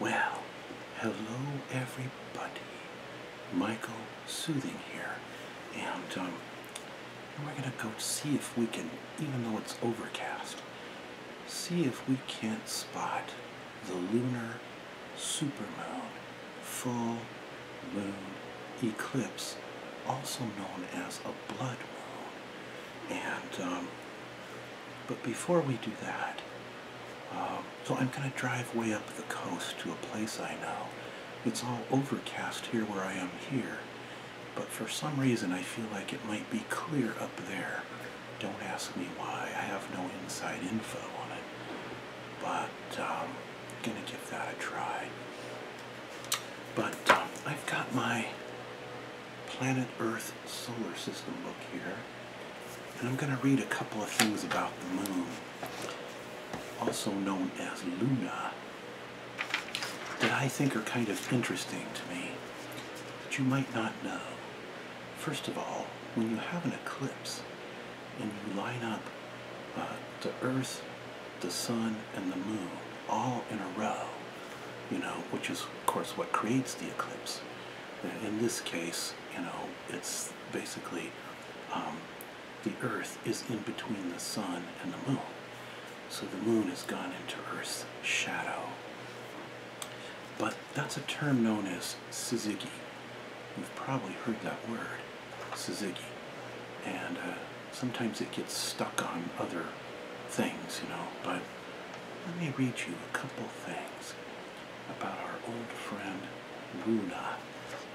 Well, hello everybody. Michael Soothing here. And um, we're going to go see if we can, even though it's overcast, see if we can't spot the lunar supermoon full moon eclipse, also known as a blood moon. And, um, but before we do that, um, so I'm going to drive way up the coast to a place I know. It's all overcast here where I am here, but for some reason I feel like it might be clear up there. Don't ask me why, I have no inside info on it, but I'm um, going to give that a try. But um, I've got my planet Earth solar system book here, and I'm going to read a couple of things about the moon, also known as Luna, that I think are kind of interesting to me that you might not know. First of all, when you have an eclipse and you line up uh, the Earth the sun, and the moon all in a row, you know, which is, of course, what creates the eclipse. In this case, you know, it's basically um, the Earth is in between the sun and the moon. So the moon is gone into Earth's shadow. But that's a term known as syzygy. You've probably heard that word. Suzuki. And uh, sometimes it gets stuck on other things, you know. But let me read you a couple things about our old friend Luna.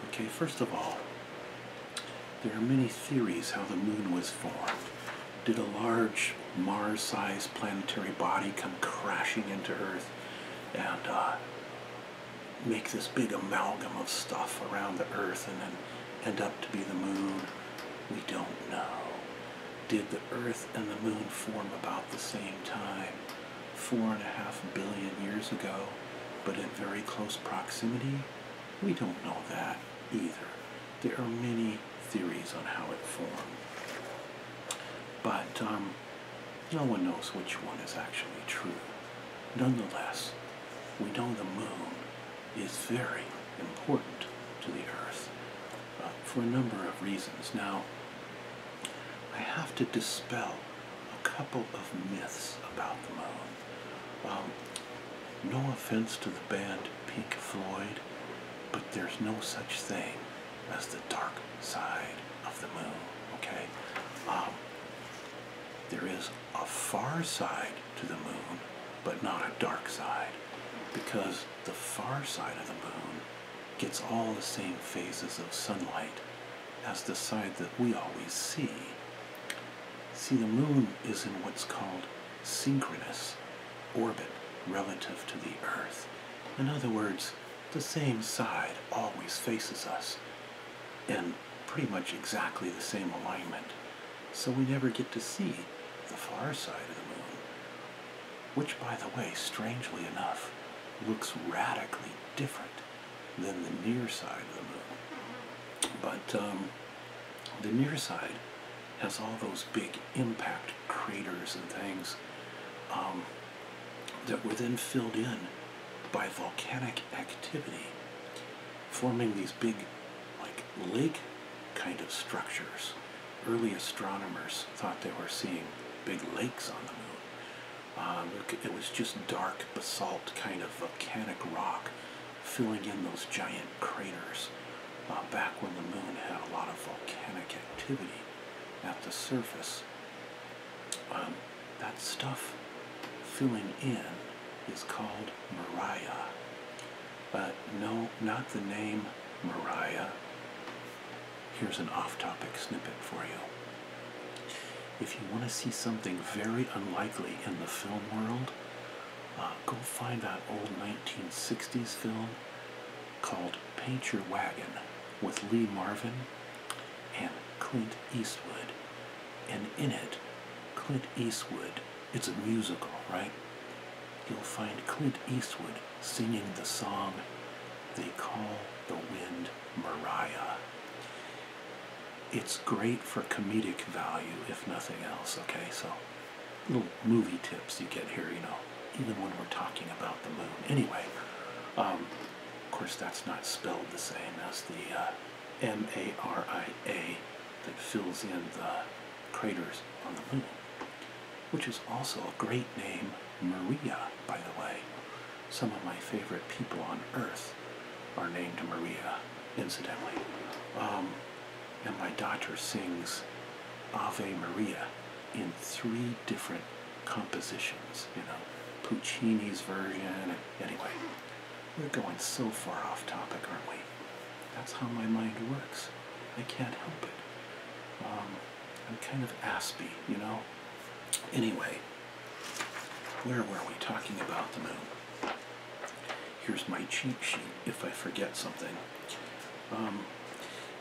Okay, first of all, there are many theories how the moon was formed. Did a large Mars-sized planetary body come crashing into Earth and uh, make this big amalgam of stuff around the Earth and then and up to be the moon? We don't know. Did the Earth and the moon form about the same time, four and a half billion years ago, but in very close proximity? We don't know that either. There are many theories on how it formed. But um, no one knows which one is actually true. Nonetheless, we know the moon is very important to the earth uh, for a number of reasons. Now, I have to dispel a couple of myths about the moon. Um, no offense to the band Pink Floyd, but there's no such thing as the dark side of the moon, okay? Um, there is a far side to the moon, but not a dark side, because the far side of the moon gets all the same phases of sunlight as the side that we always see. See, the moon is in what's called synchronous orbit relative to the Earth. In other words, the same side always faces us in pretty much exactly the same alignment. So we never get to see the far side of the moon, which, by the way, strangely enough, looks radically different than the near side of the moon. But um, the near side has all those big impact craters and things um, that were then filled in by volcanic activity forming these big, like, lake kind of structures. Early astronomers thought they were seeing big lakes on the moon. Um, it was just dark basalt kind of volcanic rock filling in those giant craters uh, back when the moon had a lot of volcanic activity at the surface. Um, that stuff filling in is called Mariah. But no, not the name Mariah. Here's an off-topic snippet for you. If you want to see something very unlikely in the film world, uh, go find that old 1960s film called Paint Your Wagon with Lee Marvin and Clint Eastwood. And in it, Clint Eastwood it's a musical, right? You'll find Clint Eastwood singing the song They Call the Wind Mariah. It's great for comedic value, if nothing else, okay? So, little movie tips you get here, you know, even when we're talking about the moon. Anyway, um, of course, that's not spelled the same as the. Uh, M-A-R-I-A that fills in the craters on the moon, which is also a great name, Maria, by the way. Some of my favorite people on Earth are named Maria, incidentally. Um, and my daughter sings Ave Maria in three different compositions, you know, Puccini's version, anyway. We're going so far off topic, aren't we? That's how my mind works. I can't help it. Um, I'm kind of aspy, you know? Anyway, where were we talking about the moon? Here's my cheat sheet if I forget something. Um,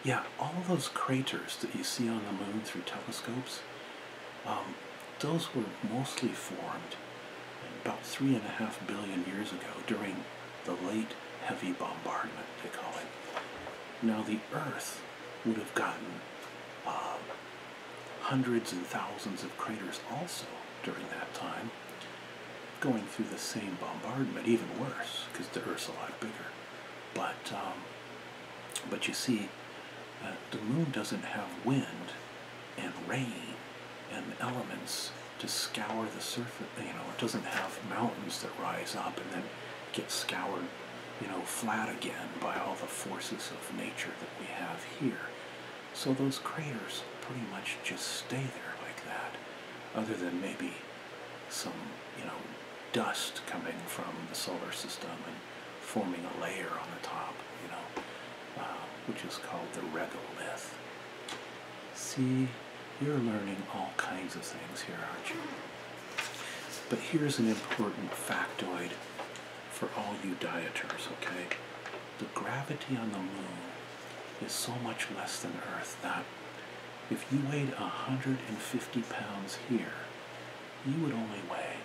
yeah, all those craters that you see on the moon through telescopes, um, those were mostly formed about three and a half billion years ago during the late heavy bombardment, they call it. Now the Earth would have gotten um, hundreds and thousands of craters also during that time, going through the same bombardment, even worse, because the Earth's a lot bigger. But, um, but you see, uh, the moon doesn't have wind and rain and elements to scour the surface. You know, it doesn't have mountains that rise up and then get scoured, you know, flat again by all the forces of nature that we have here. So those craters pretty much just stay there like that, other than maybe some, you know, dust coming from the solar system and forming a layer on the top, you know, uh, which is called the regolith. See, you're learning all kinds of things here, aren't you? But here's an important factoid for all you dieters, okay? The gravity on the moon is so much less than Earth that if you weighed 150 pounds here, you would only weigh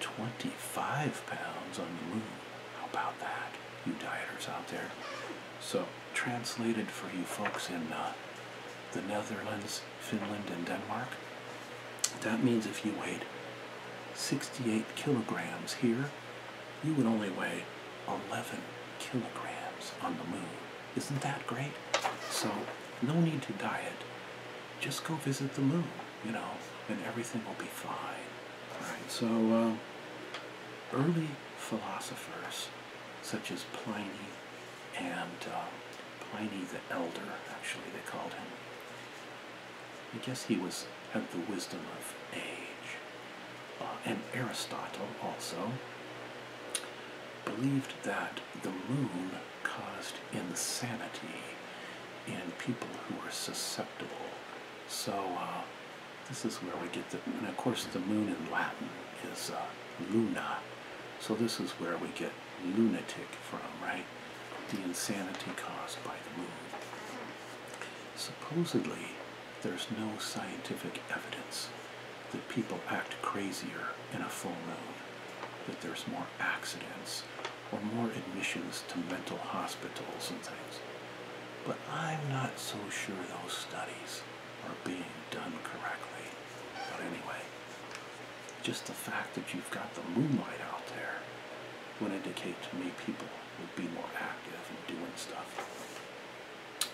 25 pounds on the moon. How about that? you dieters out there. So, translated for you folks in uh, the Netherlands, Finland, and Denmark, that means if you weighed 68 kilograms here, you would only weigh 11 kilograms on the moon. Isn't that great? So, no need to diet. Just go visit the moon, you know, and everything will be fine so um, early philosophers such as Pliny and uh, Pliny the Elder, actually they called him. I guess he was had the wisdom of age. Uh, and Aristotle also believed that the moon caused insanity in people who were susceptible. So uh, this is where we get the, and of course the moon in Latin is uh, luna. So this is where we get lunatic from, right? The insanity caused by the moon. Supposedly, there's no scientific evidence that people act crazier in a full moon, that there's more accidents or more admissions to mental hospitals and things but I'm not so sure those studies are being done correctly. But anyway, just the fact that you've got the moonlight out there would indicate to me people would be more active and doing stuff.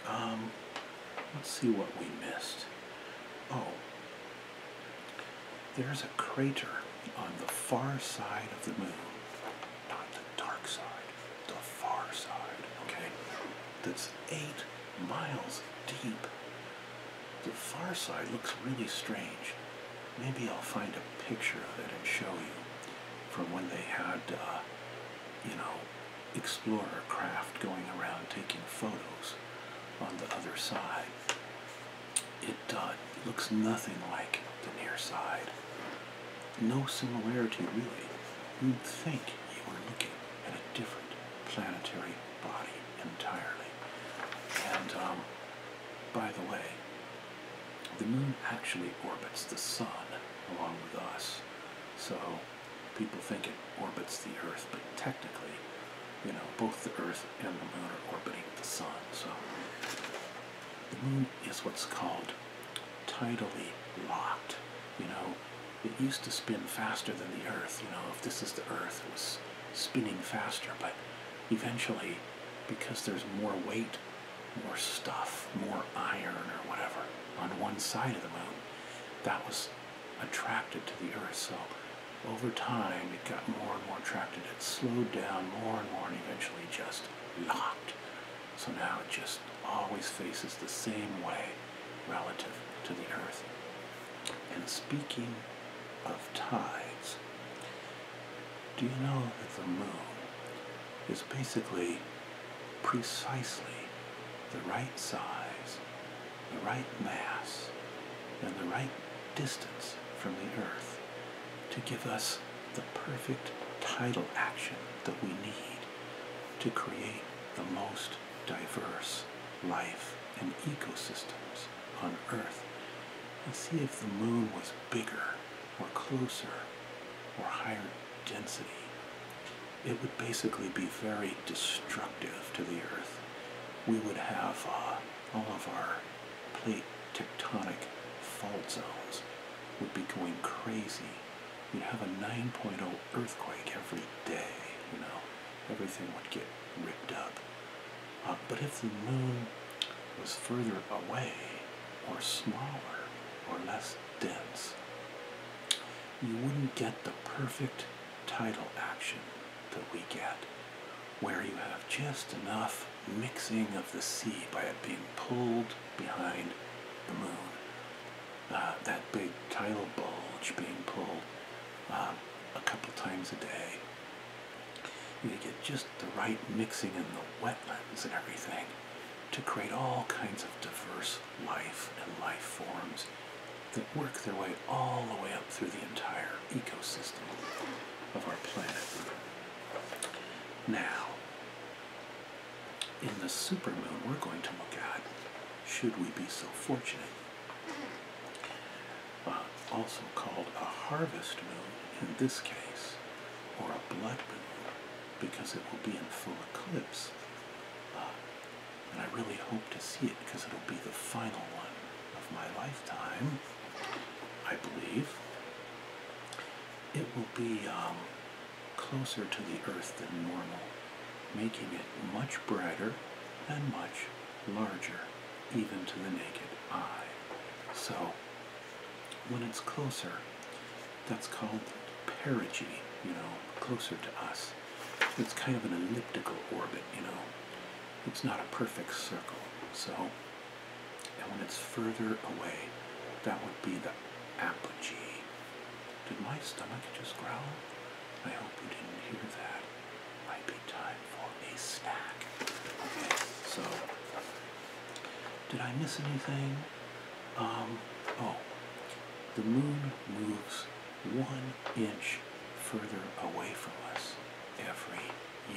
Um, let's see what we missed. Oh, there's a crater on the far side of the moon not the dark side, the far side, okay? That's eight miles deep. The far side looks really strange. Maybe I'll find a picture of it and show you from when they had, uh, you know, explorer craft going around taking photos on the other side. It uh, looks nothing like the near side no similarity really, you'd think you were looking at a different planetary body entirely. And um, by the way, the moon actually orbits the sun along with us. So people think it orbits the earth, but technically, you know, both the earth and the moon are orbiting the sun. So the moon is what's called tidally locked. You know, it used to spin faster than the Earth. You know, if this is the Earth, it was spinning faster. But eventually, because there's more weight, more stuff, more iron or whatever on one side of the moon, that was attracted to the Earth. So over time, it got more and more attracted. It slowed down more and more and eventually just locked so now it just always faces the same way relative to the earth. And speaking of tides, do you know that the moon is basically precisely the right size, the right mass, and the right distance from the earth to give us the perfect tidal action that we need to create the most diverse life and ecosystems on Earth and see if the moon was bigger or closer or higher density. It would basically be very destructive to the Earth. We would have uh, all of our plate tectonic fault zones would be going crazy. You'd have a 9.0 earthquake every day, you know. Everything would get ripped up. Uh, but if the moon was further away, or smaller, or less dense, you wouldn't get the perfect tidal action that we get, where you have just enough mixing of the sea by it being pulled behind the moon. Uh, that big tidal bulge being pulled um, a couple times a day. You get just the right mixing in the wetlands and everything to create all kinds of diverse life and life forms that work their way all the way up through the entire ecosystem of our planet. Now, in the supermoon we're going to look at, should we be so fortunate, uh, also called a harvest moon in this case, or a blood moon, because it will be in full eclipse. Uh, and I really hope to see it because it'll be the final one of my lifetime, I believe it will be um, closer to the Earth than normal, making it much brighter and much larger, even to the naked eye. So, when it's closer, that's called perigee, you know, closer to us. It's kind of an elliptical orbit, you know. It's not a perfect circle. So, and when it's further away, that would be the apogee. Did my stomach just growl? I hope you didn't hear that. Might be time for a snack. so did I miss anything? Um, oh, the moon moves one inch further away from us every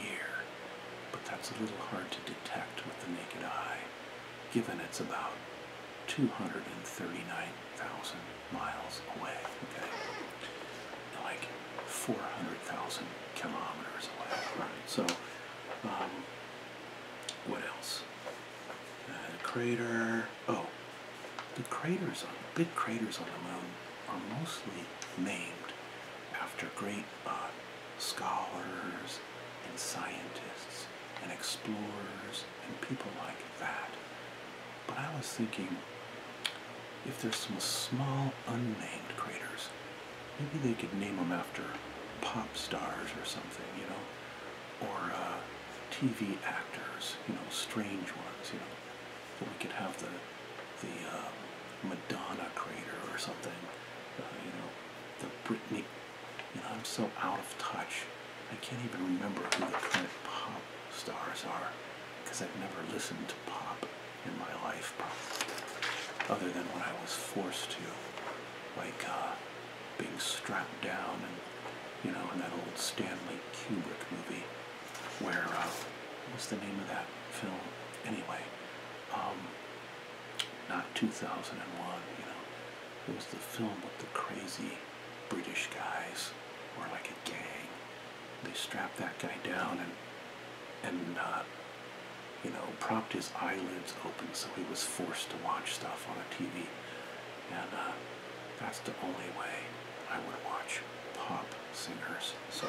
year, but that's a little hard to detect with the naked eye given it's about 239,000 miles away, okay? Like 400,000 kilometers away, right? So, um, what else? Uh, the crater, oh, the craters on, the big craters on the moon are mostly named after great uh, scholars and scientists and explorers and people like that. But I was thinking if there's some small unnamed craters, maybe they could name them after pop stars or something, you know, or uh, TV actors, you know, strange ones, you know. we could have the the um, Madonna crater or something, uh, you know, the Britney you know, I'm so out of touch. I can't even remember who the current pop stars are because I've never listened to pop in my life, other than when I was forced to, like uh, being strapped down and, you know, in that old Stanley Kubrick movie where, uh, what's the name of that film? Anyway, um, not 2001, you know. It was the film with the crazy British guys, or like a gang. They strapped that guy down and, and uh, you know, propped his eyelids open so he was forced to watch stuff on a TV. And uh, that's the only way I would watch pop singers. So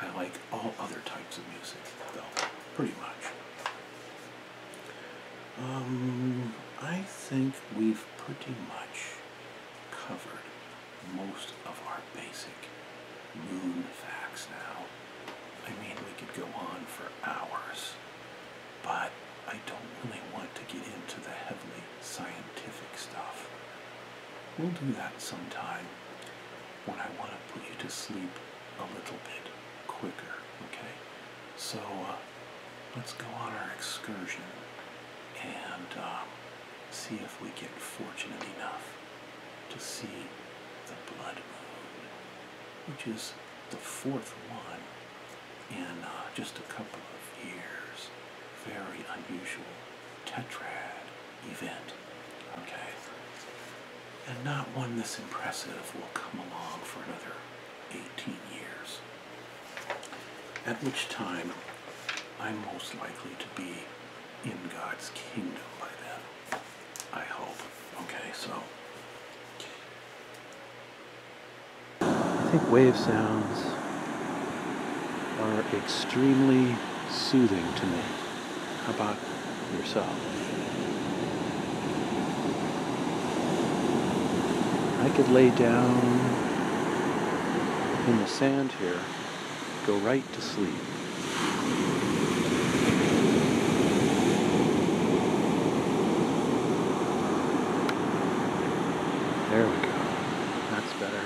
I like all other types of music, though pretty much. Um, I think we've pretty much covered most of our basic moon facts now. I mean, we could go on for hours, but I don't really want to get into the heavily scientific stuff. We'll do that sometime when I want to put you to sleep a little bit quicker. Okay, so uh, let's go on our excursion and um, see if we get fortunate enough to see the blood moon, which is the fourth one in uh, just a couple of years. Very unusual tetrad event. Okay? And not one this impressive will come along for another 18 years. At which time, I'm most likely to be in God's kingdom by then. I hope. Okay, so. I think wave sounds are extremely soothing to me. How about yourself? I could lay down in the sand here, go right to sleep. There we go. That's better.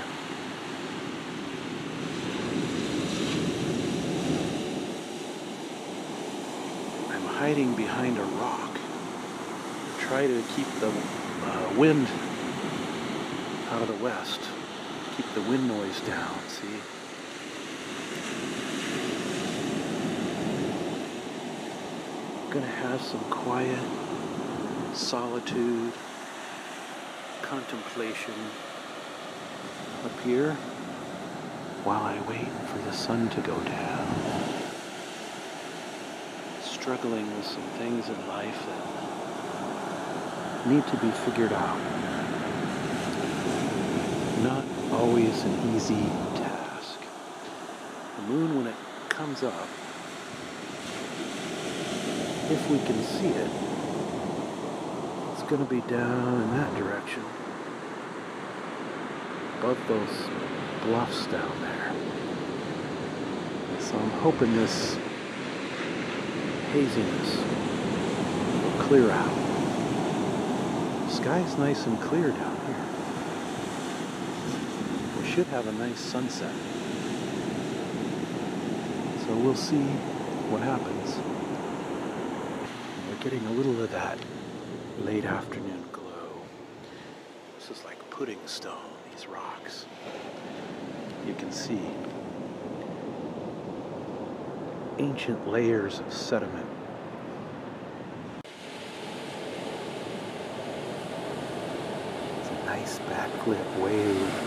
I'm hiding behind a rock. Try to keep the uh, wind out of the west. Keep the wind noise down, see? gonna have some quiet solitude, contemplation up here while I wait for the sun to go down. Struggling with some things in life that need to be figured out. Not always an easy task. The moon, when it comes up, if we can see it, it's going to be down in that direction direction. Above those bluffs down there. So I'm hoping this haziness will clear out. The sky's nice and clear down here. We should have a nice sunset. So we'll see what happens we're getting a little of that late afternoon glow. This is like pudding stone, these rocks. You can see ancient layers of sediment nice backlit wave.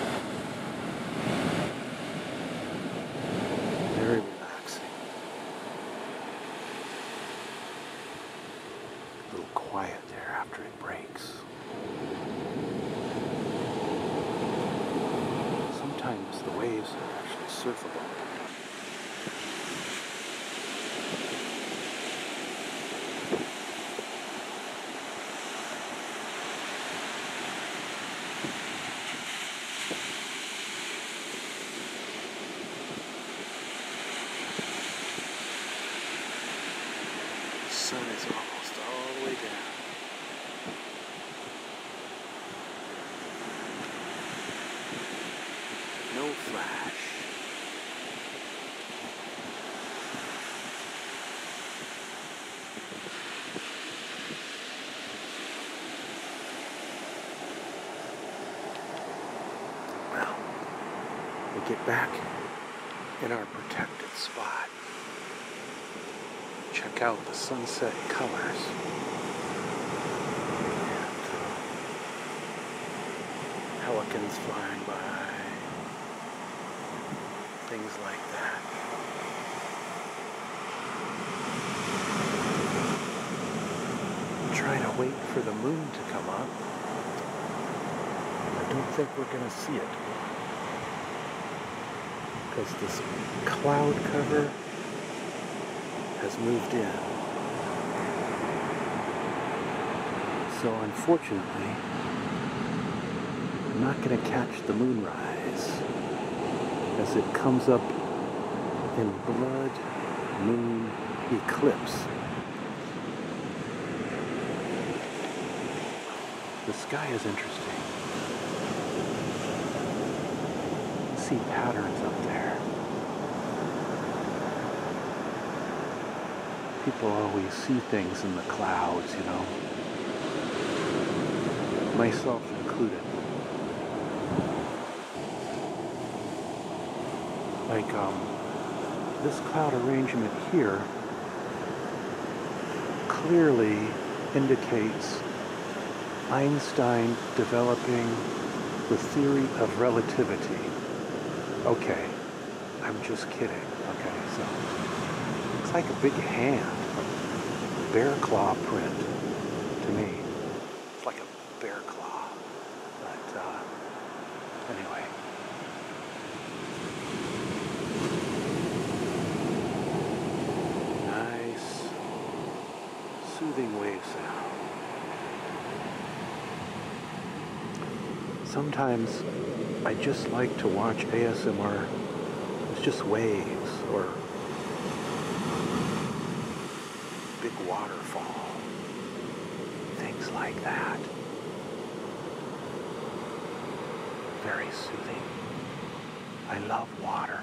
Very little quiet there after it breaks. Sometimes the waves are actually surfable. The sun is almost all the way down. No flash. Well, we get back in our protected spot. Check out the sunset colors. Uh, pelicans flying by, things like that. I'm trying to wait for the moon to come up. I don't think we're going to see it. Because this cloud cover has moved in. So unfortunately, I'm not going to catch the moon rise as it comes up in blood moon eclipse. The sky is interesting. You see patterns up there. People always see things in the clouds, you know. Myself included. Like um, this cloud arrangement here clearly indicates Einstein developing the theory of relativity. Okay, I'm just kidding. Okay, so it's like a big hand bear claw print to me. It's like a bear claw. But uh, anyway. Nice soothing wave sound. Sometimes I just like to watch ASMR. It's just waves or big waterfall, things like that. Very soothing. I love water.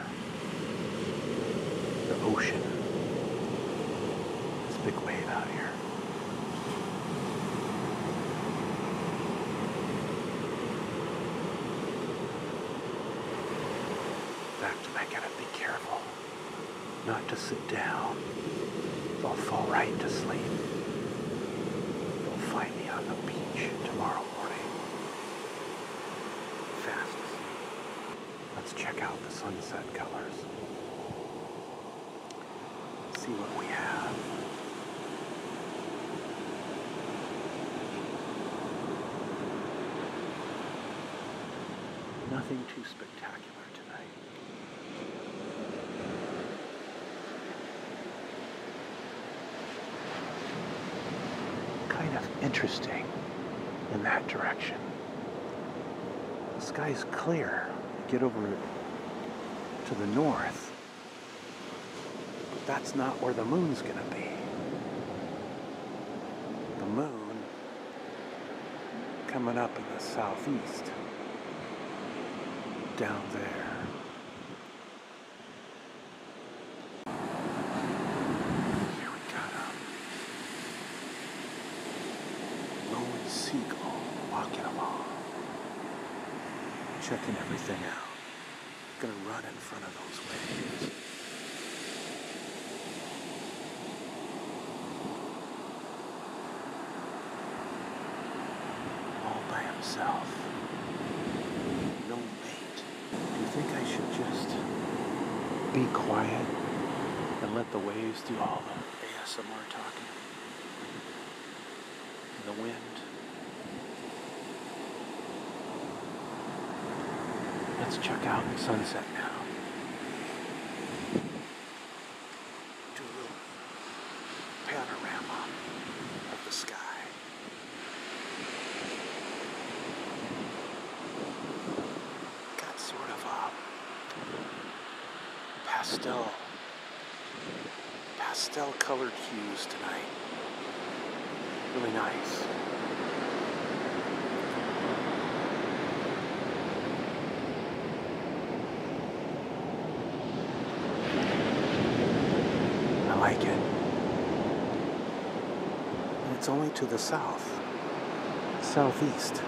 The ocean. This big wave out here. Back to my cabin. Be careful not to sit down. i will fall right to sleep. They'll find me on the beach tomorrow morning. Fast Let's check out the sunset colors. See what we have. Nothing too spectacular tonight. Kind of interesting in that direction. The sky is clear. Get over to the north. But that's not where the moon's going to be. The moon coming up in the southeast, down there. Um, Seagull walking along, checking everything out going to run in front of those waves. All by himself. No mate. Do you think I should just be quiet and let the waves do all the ASMR talking? the wind. Let's check out the sunset now. Do a little panorama of the sky. Got sort of a pastel, pastel colored hues tonight. Really nice. I like it. And it's only to the south, southeast.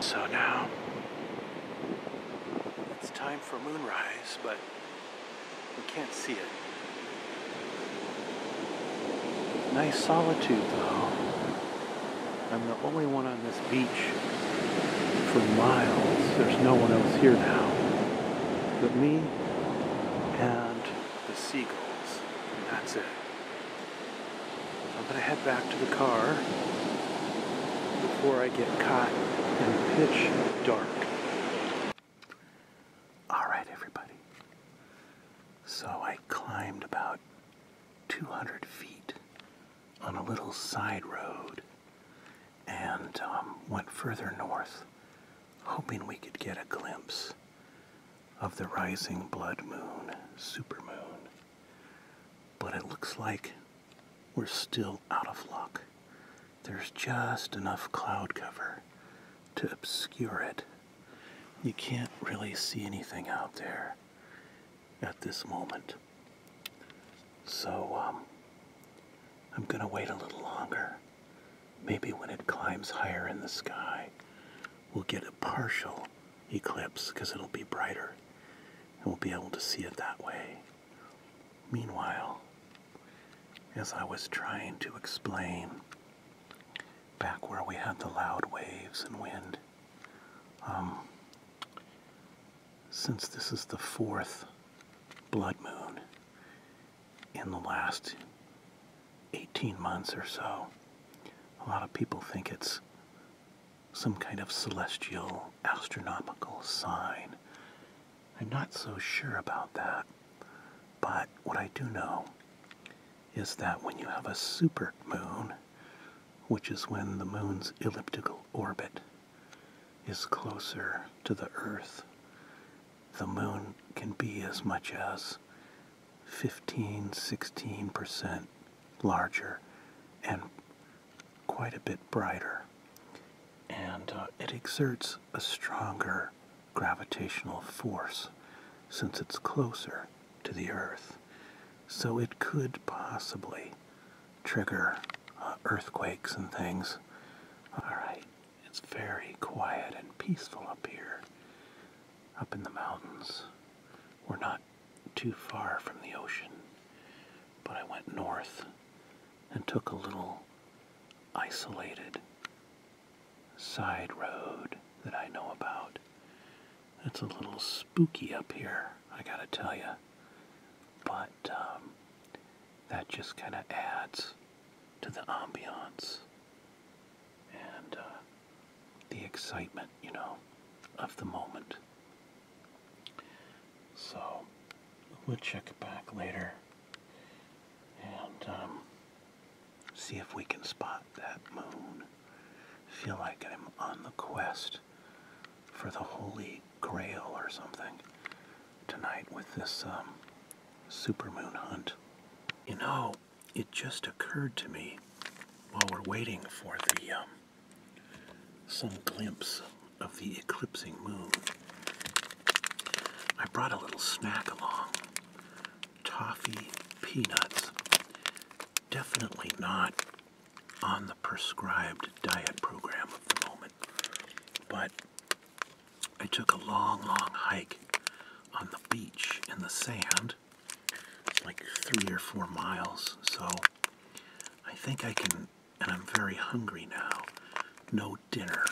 So now, it's time for moonrise, but we can't see it. Nice solitude, though. I'm the only one on this beach for miles. There's no one else here now but me and the seagulls. And that's it. I'm going to head back to the car before I get caught in pitch dark. Alright, everybody. So I climbed about 200 feet on a little side road and um, went further north, hoping we could get a glimpse of the rising blood moon, supermoon. But it looks like we're still out of luck. There's just enough cloud cover to obscure it you can't really see anything out there at this moment. So, um, I'm going to wait a little longer. Maybe when it climbs higher in the sky, we'll get a partial eclipse because it'll be brighter and we'll be able to see it that way. Meanwhile, as I was trying to explain back where we had the loud waves and wind. Um, since this is the fourth blood moon in the last 18 months or so, a lot of people think it's some kind of celestial astronomical sign. I'm not so sure about that. But what I do know is that when you have a super moon, which is when the moon's elliptical orbit is closer to the Earth, the moon can be as much as 15 16% larger and quite a bit brighter. And uh, it exerts a stronger gravitational force since it's closer to the Earth. So it could possibly trigger uh, earthquakes and things. Alright, it's very quiet and peaceful up here, up in the mountains. We're not too far from the ocean, but I went north and took a little isolated side road that I know about. It's a little spooky up here, I gotta tell you. But um, that just kind of adds to the ambiance and uh, the excitement, you know, of the moment. So we'll check back later. And um, See if we can spot that moon. Feel like I'm on the quest for the Holy Grail or something tonight with this um, supermoon hunt. You know, it just occurred to me while we're waiting for the um, some glimpse of the eclipsing moon. I brought a little snack along toffee peanuts. Definitely not on the prescribed diet program of the moment, but I took a long, long hike on the beach in the sand. like three or four miles, so I think I can, and I'm very hungry now. No dinner.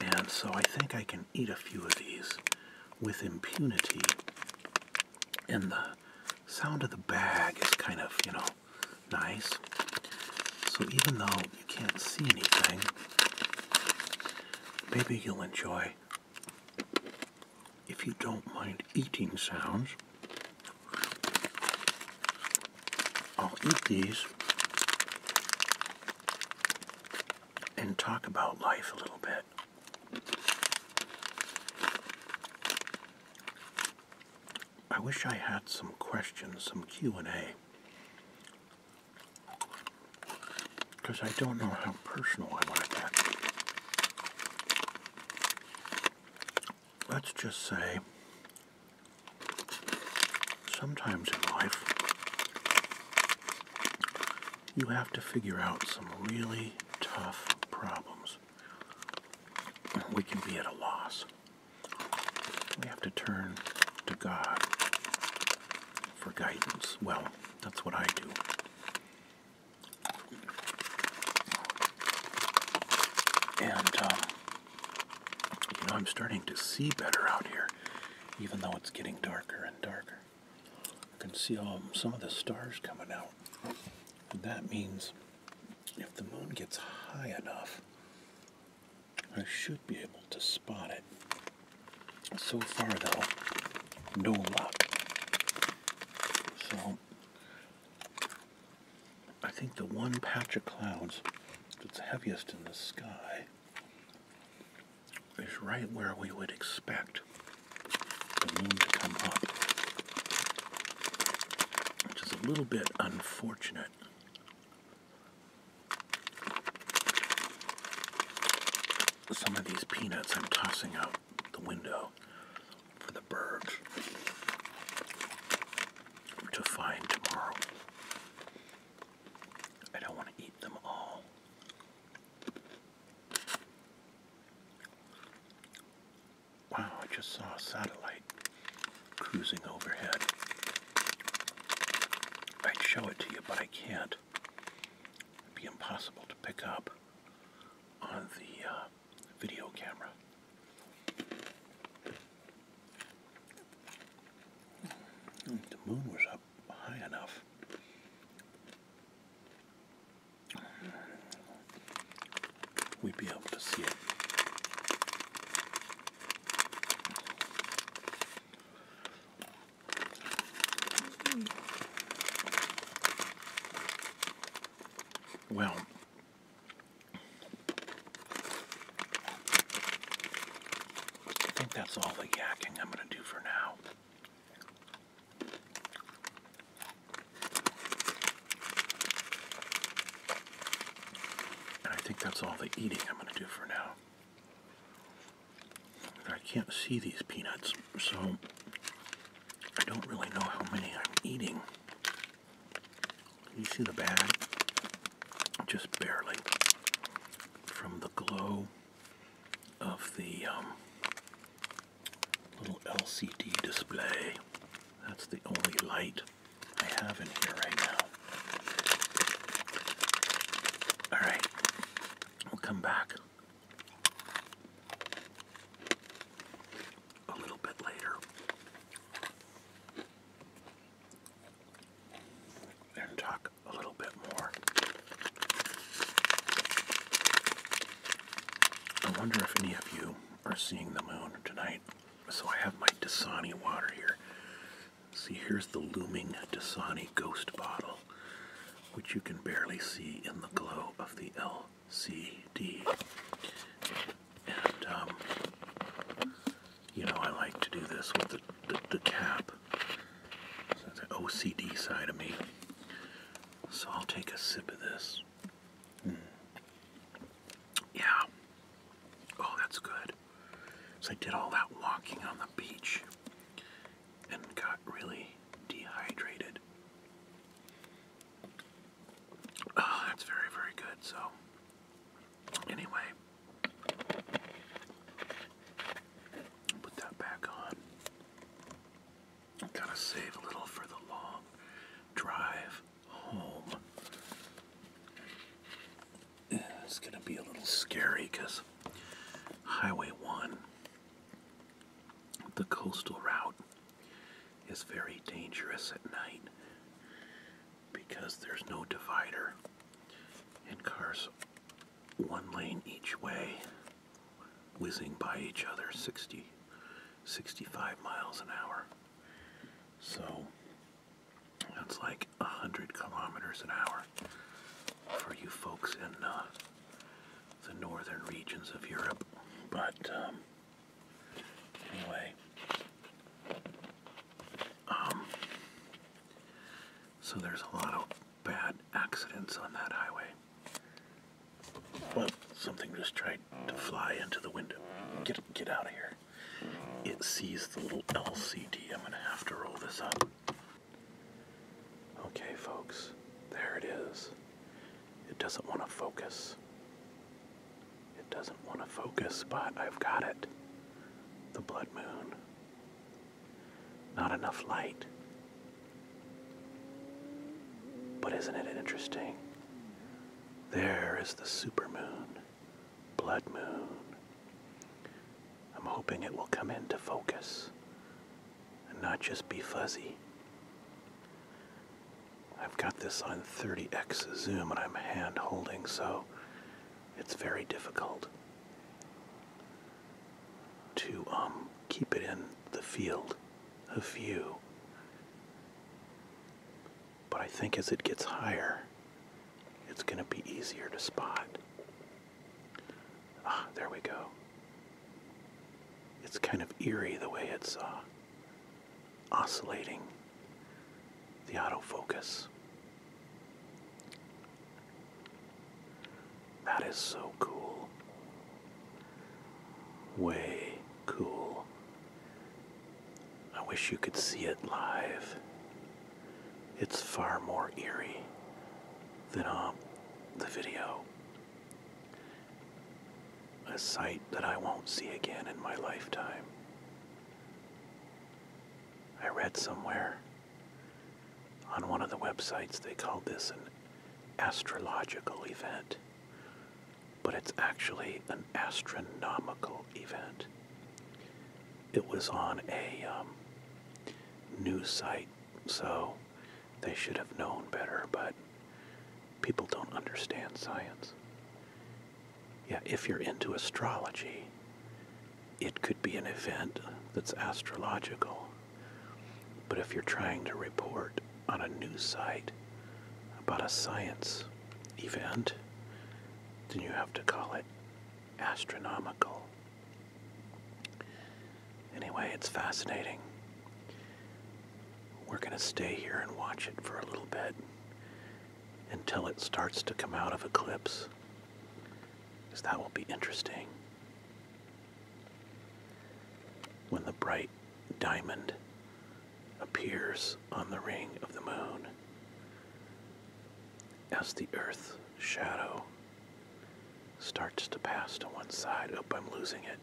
And so I think I can eat a few of these with impunity. And the sound of the bag is kind of, you know, nice. So even though you can't see anything, maybe you'll enjoy if you don't mind eating sounds. I'll eat these and talk about life a little bit. I wish I had some questions, some Q&A. Because I don't know how personal I want to get. Let's just say sometimes in life, you have to figure out some really tough problems. We can be at a loss. We have to turn to God for guidance. Well, that's what I do. And, um, you know, I'm starting to see better out here even though it's getting darker and darker. I can see some of the stars coming out. that means if the moon gets high enough, I should be able to spot it. So far, though, no luck. So, I think the one patch of clouds that's heaviest in the sky is right where we would expect the moon to come up, which is a little bit unfortunate. Some of these peanuts I'm tossing out the window for the birds to find tomorrow. I don't want to eat them all. Wow, I just saw a satellite cruising overhead. I'd show it to you, but I can't. It'd be impossible to pick up on the uh, video camera. Hmm, the moon was up high enough. We'd be able to see it. Well, I think that's all the yakking I'm going to do for now. And I think that's all the eating I'm going to do for now. I can't see these peanuts, so I don't really know how many I'm eating. You see the bag? Just barely. From the glow of the um, little LCD display. That's the only light I have in here right now. Alright, we'll come back a little bit later and talk a little bit more. I wonder if any of you are seeing the moon tonight. So I have my Dasani water here. See, here's the looming Dasani ghost bottle, which you can barely see in the glow of the LCD. And, um, you know, I like to do this with the the, cap. So that's the OCD side of me. So I'll take a sip of this. Mm. Yeah. Oh, that's good. So I did all that walking on the beach and got really dehydrated. Oh, that's very, very good. So, anyway. Put that back on. Gotta save a little for the long drive home. It's gonna be a little scary because Highway 1, the coastal route, is very dangerous at night because there's no divider and cars one lane each way, whizzing by each other 60, 65 miles an hour. So that's like 100 kilometers an hour for you folks in uh, the northern regions of Europe. But um, anyway, um, so there's a lot of bad accidents on that highway. Well, something just tried to fly into the window. Get get out of here. It sees the little LCD. I'm gonna have to roll this up. Okay, folks, there it is. It doesn't want to focus. It doesn't want to focus, but I've got it. The blood moon. Not enough light. But isn't it interesting? There is the super moon, blood moon. I'm hoping it will come into focus and not just be fuzzy. I've got this on 30x zoom and I'm hand holding, so it's very difficult to um, keep it in the field of view. But I think as it gets higher, it's going to be easier to spot. Ah, there we go. It's kind of eerie the way it's uh, oscillating the autofocus. That is so cool. Way cool. I wish you could see it live. It's far more eerie than on uh, the video. A sight that I won't see again in my lifetime. I read somewhere on one of the websites, they called this an astrological event, but it's actually an astronomical event. It was on a um, news site, so they should have known better, but people don't understand science. Yeah, if you're into astrology, it could be an event that's astrological. But if you're trying to report on a news site about a science event, then you have to call it astronomical. Anyway, it's fascinating. We're going to stay here and watch it for a little bit until it starts to come out of eclipse because that will be interesting. When the bright diamond appears on the ring of the moon as the Earth shadow starts to pass to one side. Oh, I'm losing it.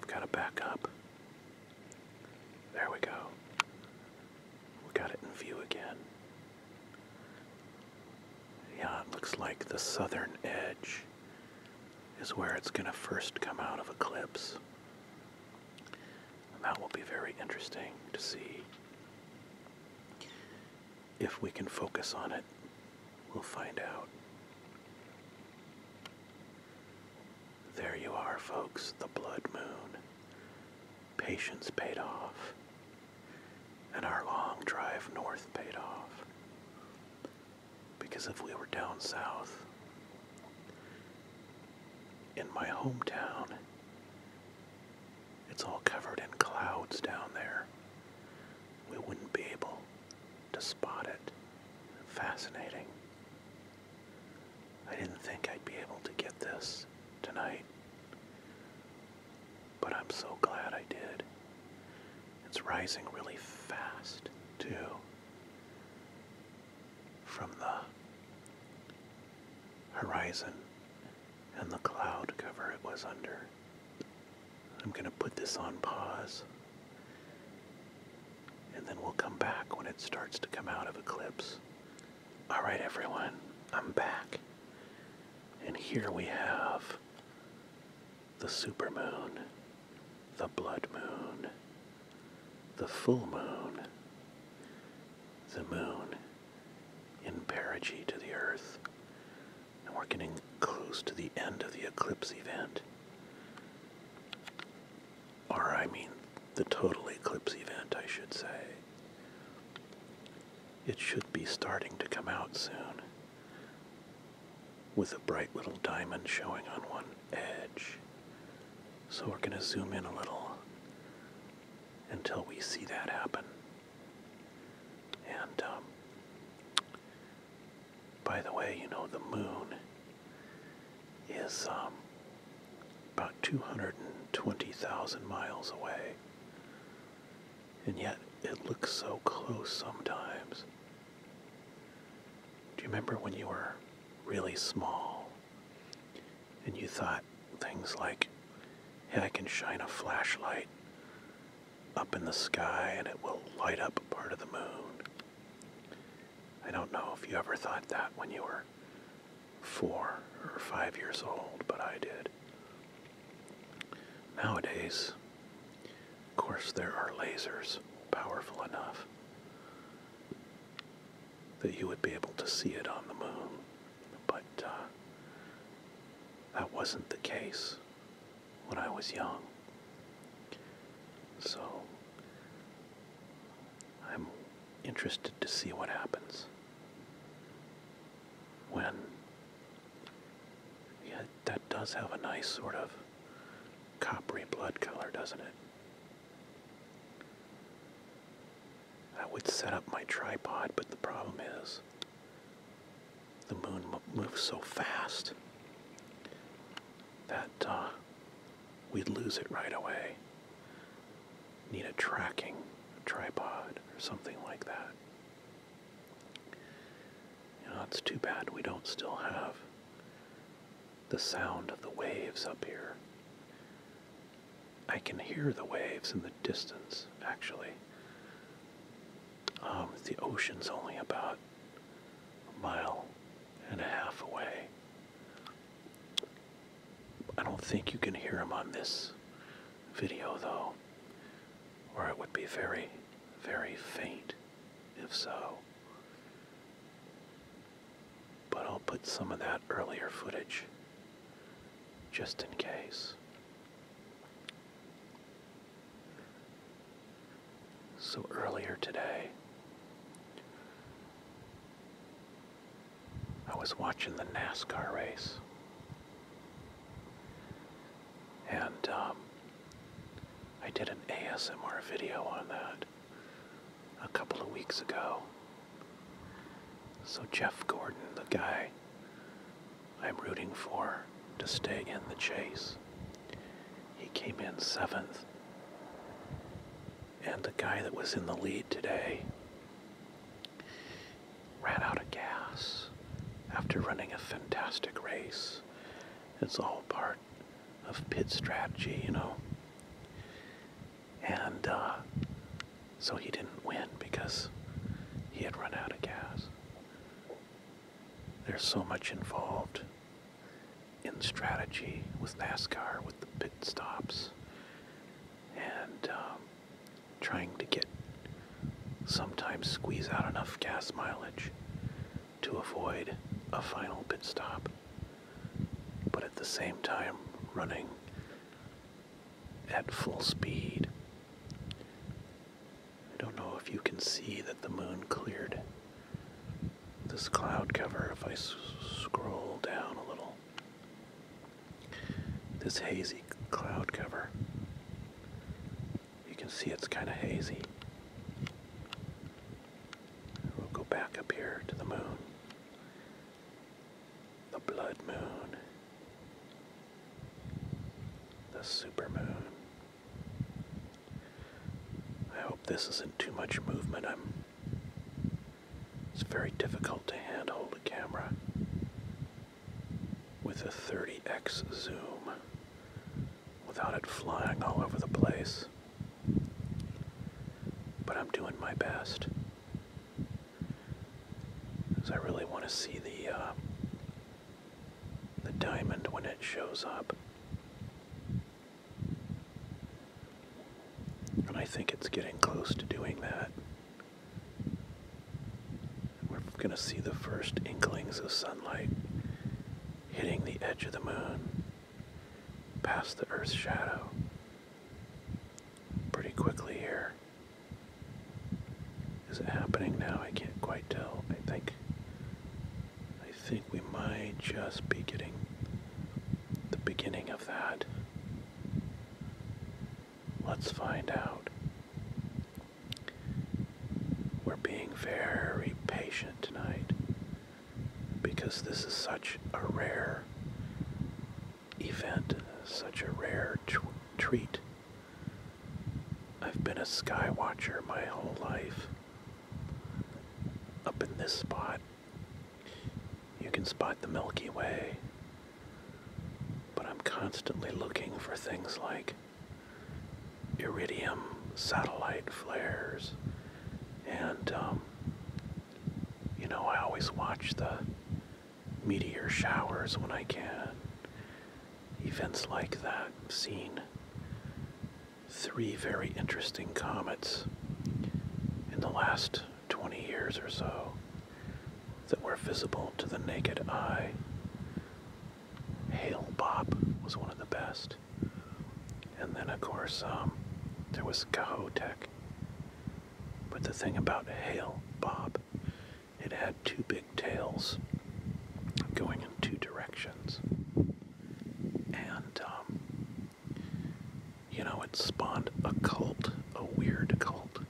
I've got to back up. There we go. We got it in view again. Yeah, it looks like the southern edge is where it's going to first come out of eclipse. that will be very interesting to see if we can focus on it. We'll find out. There you are, folks, the blood moon patience paid off, and our long drive north paid off. Because if we were down south, in my hometown, it's all covered in clouds down there. We wouldn't be able to spot it. Fascinating. I didn't think I'd be able to get this tonight but I'm so glad I did. It's rising really fast, too. From the horizon and the cloud cover it was under. I'm going to put this on pause and then we'll come back when it starts to come out of eclipse. Alright everyone, I'm back. And here we have the supermoon, the blood moon, the full moon, the moon in perigee to the earth. And we're getting close to the end of the eclipse event. Or I mean the total eclipse event, I should say. It should be starting to come out soon, with a bright little diamond showing on one edge. So we're going to zoom in a little until we see that happen. And, um, by the way, you know, the moon is um, about 220,000 miles away and yet it looks so close sometimes. Do you remember when you were really small and you thought things like, hey, I can shine a flashlight up in the sky and it will light up part of the moon? I don't know if you ever thought that when you were four or five years old, but I did. Nowadays, of course, there are lasers powerful enough that you would be able to see it on the moon, but uh, that wasn't the case when I was young. So, I'm interested to see what happens when yeah, that does have a nice sort of coppery blood color, doesn't it? I would set up my tripod, but the problem is the moon moves so fast that uh, we'd lose it right away. Need a tracking tripod or something like that. You know, it's too bad we don't still have the sound of the waves up here. I can hear the waves in the distance, actually. Um, the ocean's only about a mile and a half away. I don't think you can hear them on this video, though or it would be very, very faint if so. But I'll put some of that earlier footage just in case. So earlier today, I was watching the NASCAR race and um, I did an ASMR video on that a couple of weeks ago. So, Jeff Gordon, the guy I'm rooting for to stay in the chase, he came in seventh. And the guy that was in the lead today ran out of gas after running a fantastic race. It's all part of pit strategy, you know. And uh, so he didn't win because he had run out of gas. There's so much involved in strategy with NASCAR, with the pit stops. And um, trying to get sometimes squeeze out enough gas mileage to avoid a final pit stop, but at the same time running at full speed. I don't know if you can see that the moon cleared this cloud cover if I scroll down a little this hazy cloud cover. You can see it's kind of hazy. We'll go back up here to the moon, the blood moon, the super moon. I hope this isn't too much movement. I'm it's very difficult to handhold a camera with a 30x zoom without it flying all over the place. But I'm doing my best. Because I really want to see the, uh, the diamond when it shows up. And I think it's getting close to doing that. We're going to see the first inklings of sunlight hitting the edge of the moon past the Earth's shadow pretty quickly here. Is it happening now? I can't quite tell. I think. I think we might just be getting the beginning of that. Let's find out. We're being very patient tonight because this is such a rare event, such a rare treat. I've been a skywatcher my whole life. Up in this spot, you can spot the Milky Way but I'm constantly looking for things like iridium satellite flares, and um, you know, I always watch the meteor showers when I can. Events like that. seen three very interesting comets in the last 20 years or so that were visible to the naked eye. Hail Bob was one of the best. And then, of course, um, there was Cahotech. But the thing about Hail Bob, it had two big tails going in two directions. And, um, you know, it spawned a cult, a weird cult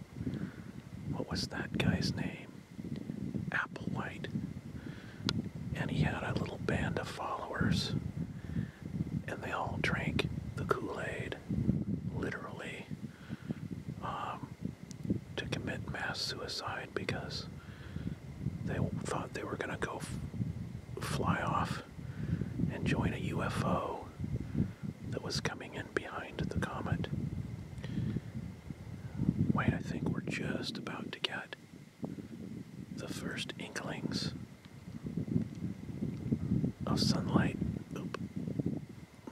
what was that guy's name? Applewhite. And he had a little band of followers. And they all drank the Kool Aid, literally, um, to commit mass suicide because they thought they were going to go fly off and join a UFO that was coming in behind the comet. Wait, I think we're just about to get the first inklings of sunlight. Oop.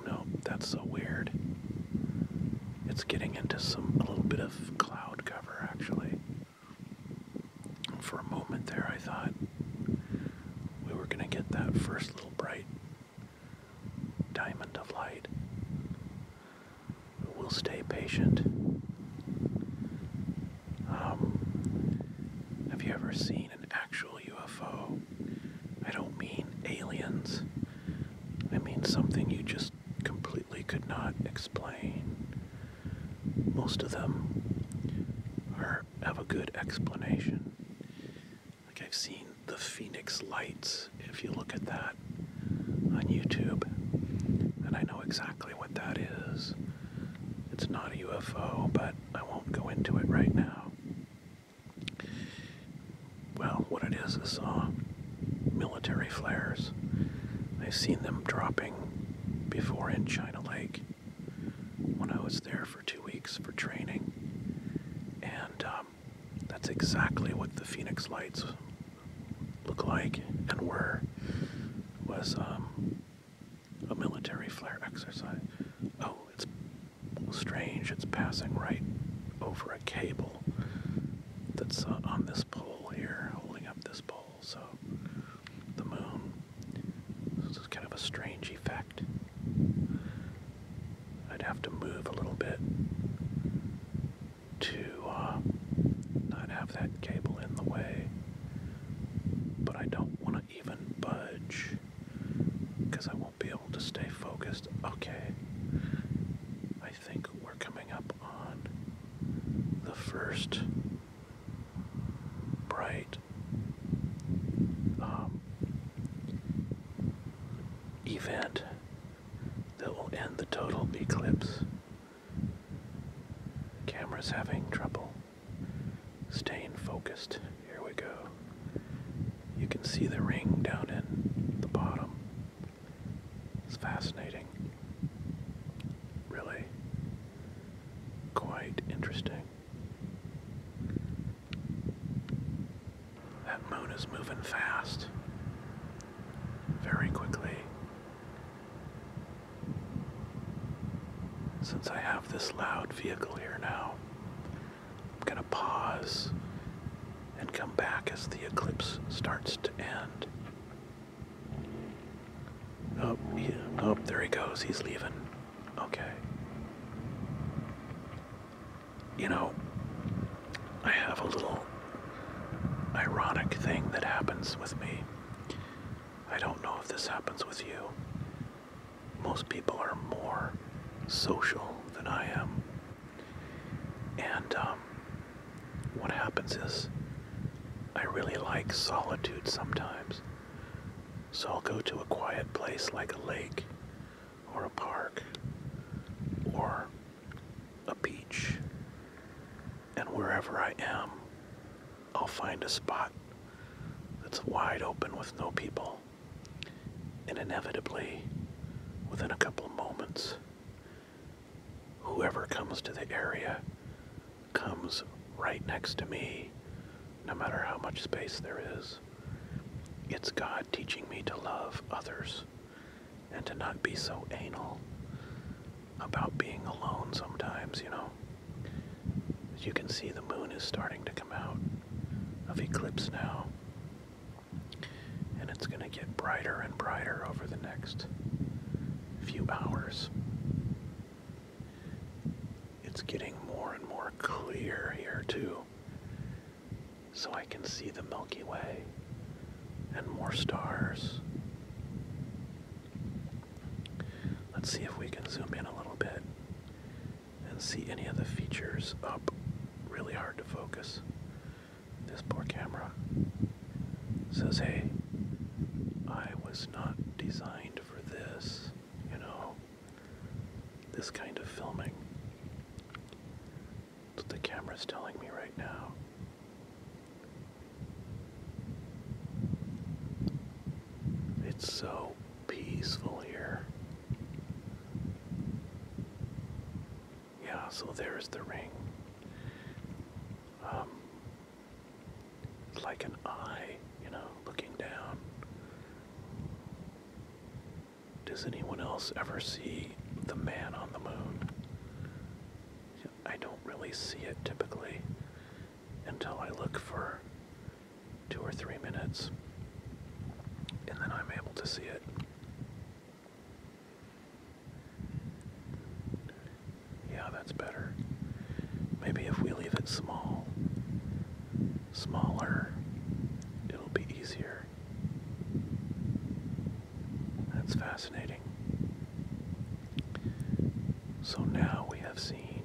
No, that's so weird. It's getting into some a little bit of cloud cover actually. For a moment there I thought we were gonna get that first little bright diamond of light who will stay patient. Um, have you ever seen an actual UFO? I don't mean aliens, I mean something you just completely could not explain. Most of them have a good explanation. Like I've seen the Phoenix Lights, if you look at that on YouTube, and I know exactly what that is. It's not a UFO, but I won't go into it right now. Well, what it is is uh, military flares. I've seen them dropping before in China Lake when I was there for two weeks for training. And uh, um, that's exactly what the Phoenix Lights look like and were. Was um, a military flare exercise. Oh, it's strange. It's passing right over a cable that's uh, on this pole here, holding up this pole. So the moon. This is kind of a strange effect. I'd have to move a little bit to uh, not have that cable in the way, but I don't want to even budge because I won't be able to stay focused. Okay, I think we're coming up on the first bright um, event that will end the total eclipse. Camera's having trouble staying focused. Here we go. You can see the ring down in the bottom. It's fascinating. Really quite interesting. That moon is moving fast. Very quickly. Since I have this loud vehicle here now, I'm going to pause and come back as the eclipse starts to end. Oh, oh, there he goes. He's leaving. Okay you know, I have a little ironic thing that happens with me. I don't know if this happens with you. Most people are more social than I am. And um, what happens is I really like solitude sometimes. So I'll go to a quiet place like a lake or a park or a beach. And wherever I am, I'll find a spot that's wide open with no people. And inevitably, within a couple moments, whoever comes to the area comes right next to me, no matter how much space there is. It's God teaching me to love others and to not be so anal about being alone sometimes, you know. you can see, the moon is starting to come out of eclipse now. And it's going to get brighter and brighter over the next few hours. It's getting more and more clear here, too so I can see the Milky Way and more stars. Let's see if we can zoom in a little bit and see any of the features up. Really hard to focus. This poor camera says, hey, I was not designed for this, you know, this kind of filming. That's what the camera's telling me right now. It's so peaceful here. Yeah, so there's the ring. Um, like an eye, you know, looking down. Does anyone else ever see the man on the moon? I don't really see it typically until I look for two or three minutes and then I'm able to see it. Yeah, that's better. Maybe if we leave it small, smaller, it'll be easier. That's fascinating. So now we have seen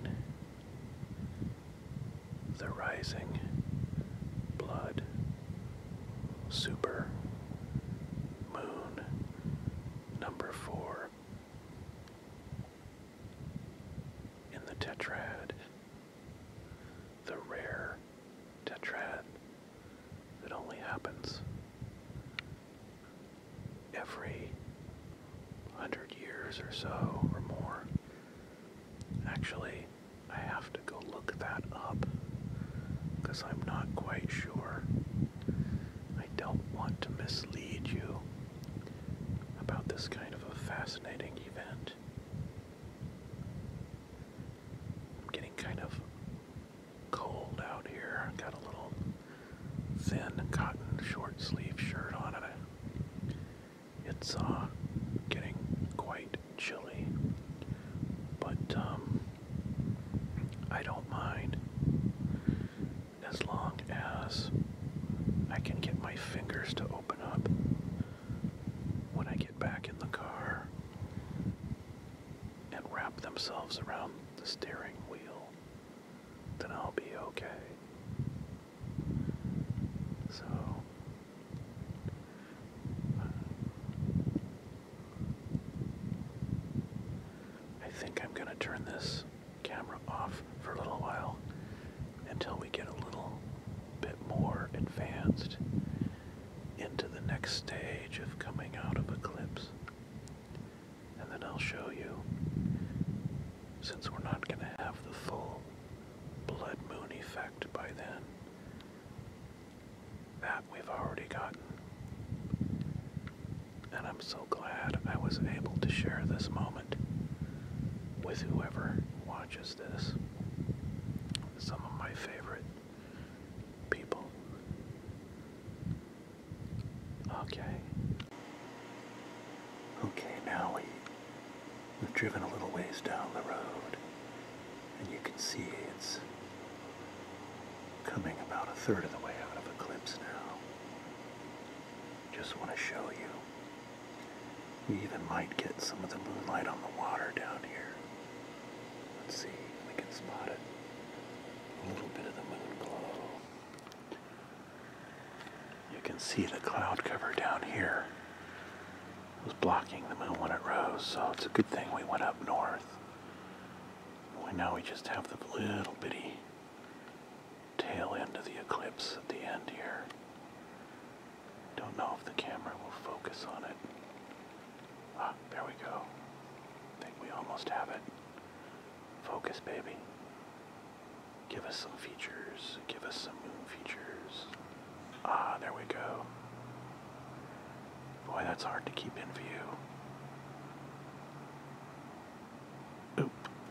the rising blood super moon number four in the tetrad the rare tetrad that only happens every hundred years or so or more. Actually, I have to go look that up because I'm not quite sure. I don't want to mislead you about this kind of a fascinating event. I'm getting kind of cold out here. Got a little thin cotton short sleeve shirt on it. It's uh getting quite chilly, but um I don't mind as long as I can get my fingers to open up when I get back in the car and wrap themselves around the steering wheel, then I'll be okay. So, uh, I think I'm going to turn this camera off for a little while until we get a little bit more advanced into the next stage of coming out of Eclipse. And then I'll show you, since we're not going to have the full blood moon effect by then, that we've already gotten. And I'm so glad I was able to share this moment with whoever watches this some of my favorite people. Okay. Okay, now we, we've driven a little ways down the road, and you can see it's coming about a third of the way out of Eclipse now. Just want to show you we even might get some of the moonlight on the water down here. Let's see if we can spot it. A little bit of the moon You can see the cloud cover down here was blocking the moon when it rose, so it's a good thing we went up north. We now we just have the little bitty tail end of the eclipse at the end here. Don't know if the camera will focus on it. Ah, there we go. I think we almost have it. Focus, baby. Give us some features. Give us some moon features. Ah, there we go. Boy, that's hard to keep in view.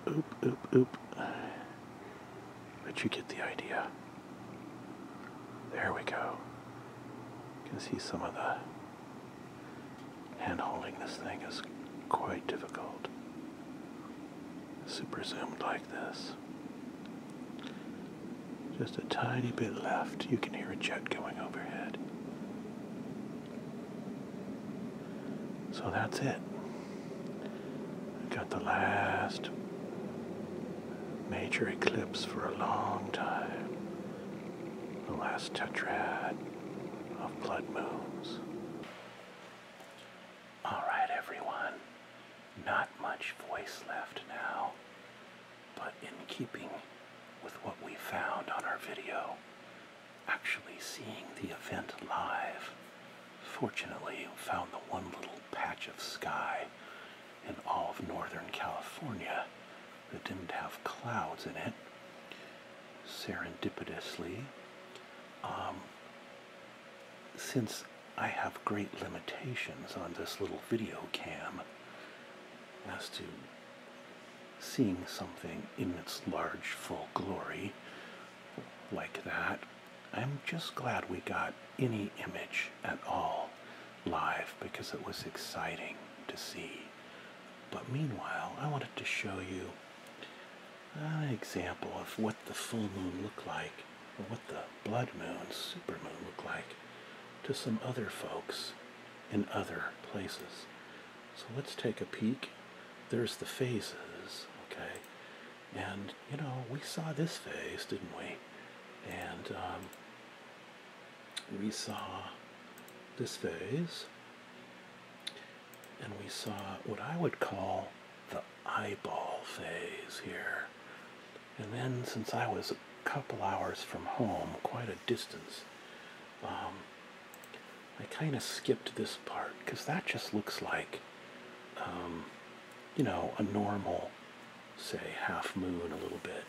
Oop, oop, oop, oop. But you get the idea. There we go. You can see some of the hand holding this thing is quite difficult. Super zoomed like this. Just a tiny bit left. You can hear a jet going overhead. So that's it. got the last major eclipse for a long time. The last tetrad of blood moons. Alright, everyone. Not much voice left now, but in keeping with what we found on our video, actually seeing the event live, fortunately found the one little patch of sky in all of Northern California that didn't have clouds in it. Serendipitously, um, since I have great limitations on this little video cam as to seeing something in its large full glory like that, I'm just glad we got any image at all live because it was exciting to see. But meanwhile, I wanted to show you an example of what the full moon looked like, or what the blood moon, super moon looked like to some other folks in other places. So let's take a peek. There's the phases, okay? And you know, we saw this phase, didn't we? And um, we saw this phase, and we saw what I would call the eyeball phase here. And then, since I was a couple hours from home, quite a distance, um, I kind of skipped this part because that just looks like, um, you know, a normal say half moon a little bit.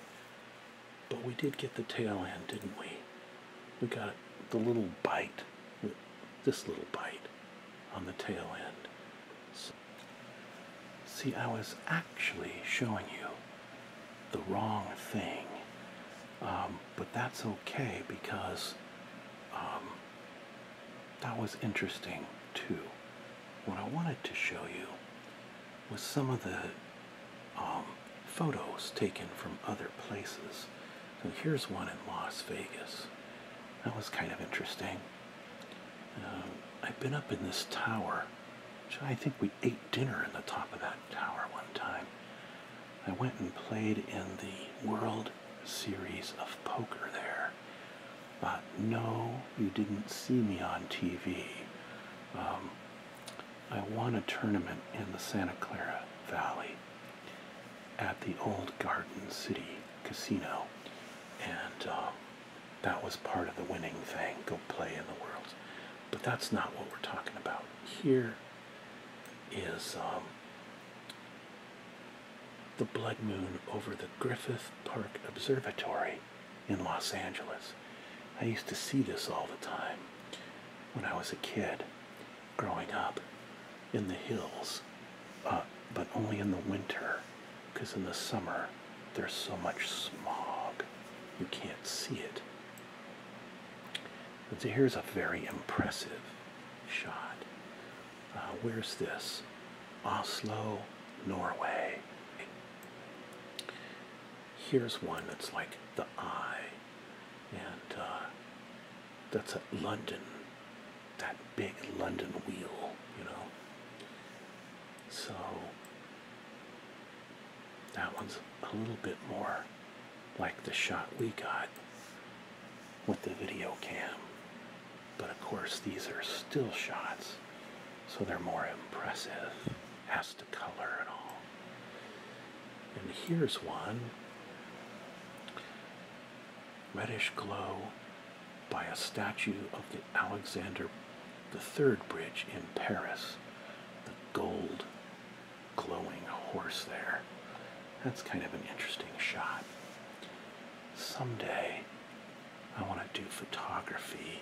But we did get the tail end, didn't we? We got the little bite, this little bite on the tail end. So, see, I was actually showing you the wrong thing. Um, but that's okay because um, that was interesting too what I wanted to show you was some of the um, photos taken from other places. here's one in Las Vegas. That was kind of interesting. Um, I've been up in this tower. I think we ate dinner in the top of that tower one time. I went and played in the World Series of Poker there. But no, you didn't see me on TV. Um, I won a tournament in the Santa Clara Valley at the old Garden City Casino. And um, that was part of the winning thing go play in the world. But that's not what we're talking about. Here is um, the blood moon over the Griffith Park Observatory in Los Angeles. I used to see this all the time when I was a kid growing up in the hills, uh, but only in the winter because in the summer there's so much smog you can't see it. And so here's a very impressive shot. Uh, where's this? Oslo, Norway. Here's one that's like the eye, and uh, that's at London, that big London wheel, you know. So that one's a little bit more like the shot we got with the video cam. But of course, these are still shots, so they're more impressive as to color and all. And here's one reddish glow by a statue of the Alexander the Third Bridge in Paris. The gold glowing horse there. That's kind of an interesting shot. Someday I want to do photography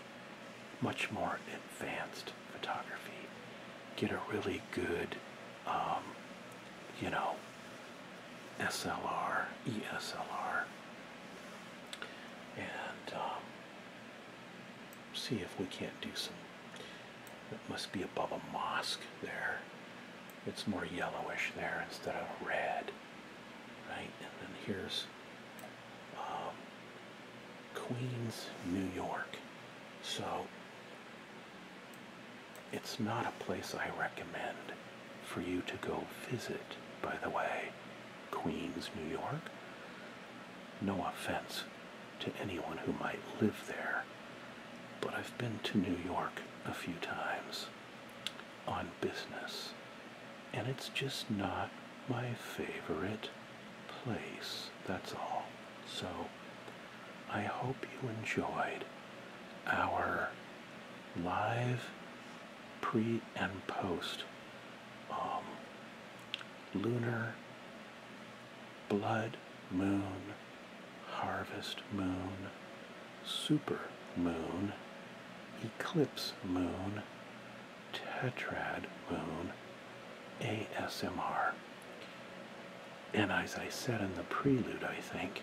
much more advanced photography, get a really good, um, you know, SLR, ESLR, and um, see if we can't do some. It must be above a mosque there. It's more yellowish there instead of red, right? And then here's um, Queens, New York. So it's not a place I recommend for you to go visit, by the way, Queens, New York. No offense to anyone who might live there, but I've been to New York a few times on business, and it's just not my favorite place, that's all. So I hope you enjoyed our live pre and post um, lunar blood moon harvest moon super moon eclipse moon Tetrad Moon ASMR. And as I said in the prelude, I think,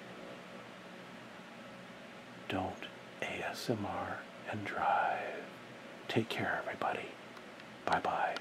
don't ASMR and drive. Take care, everybody. Bye bye.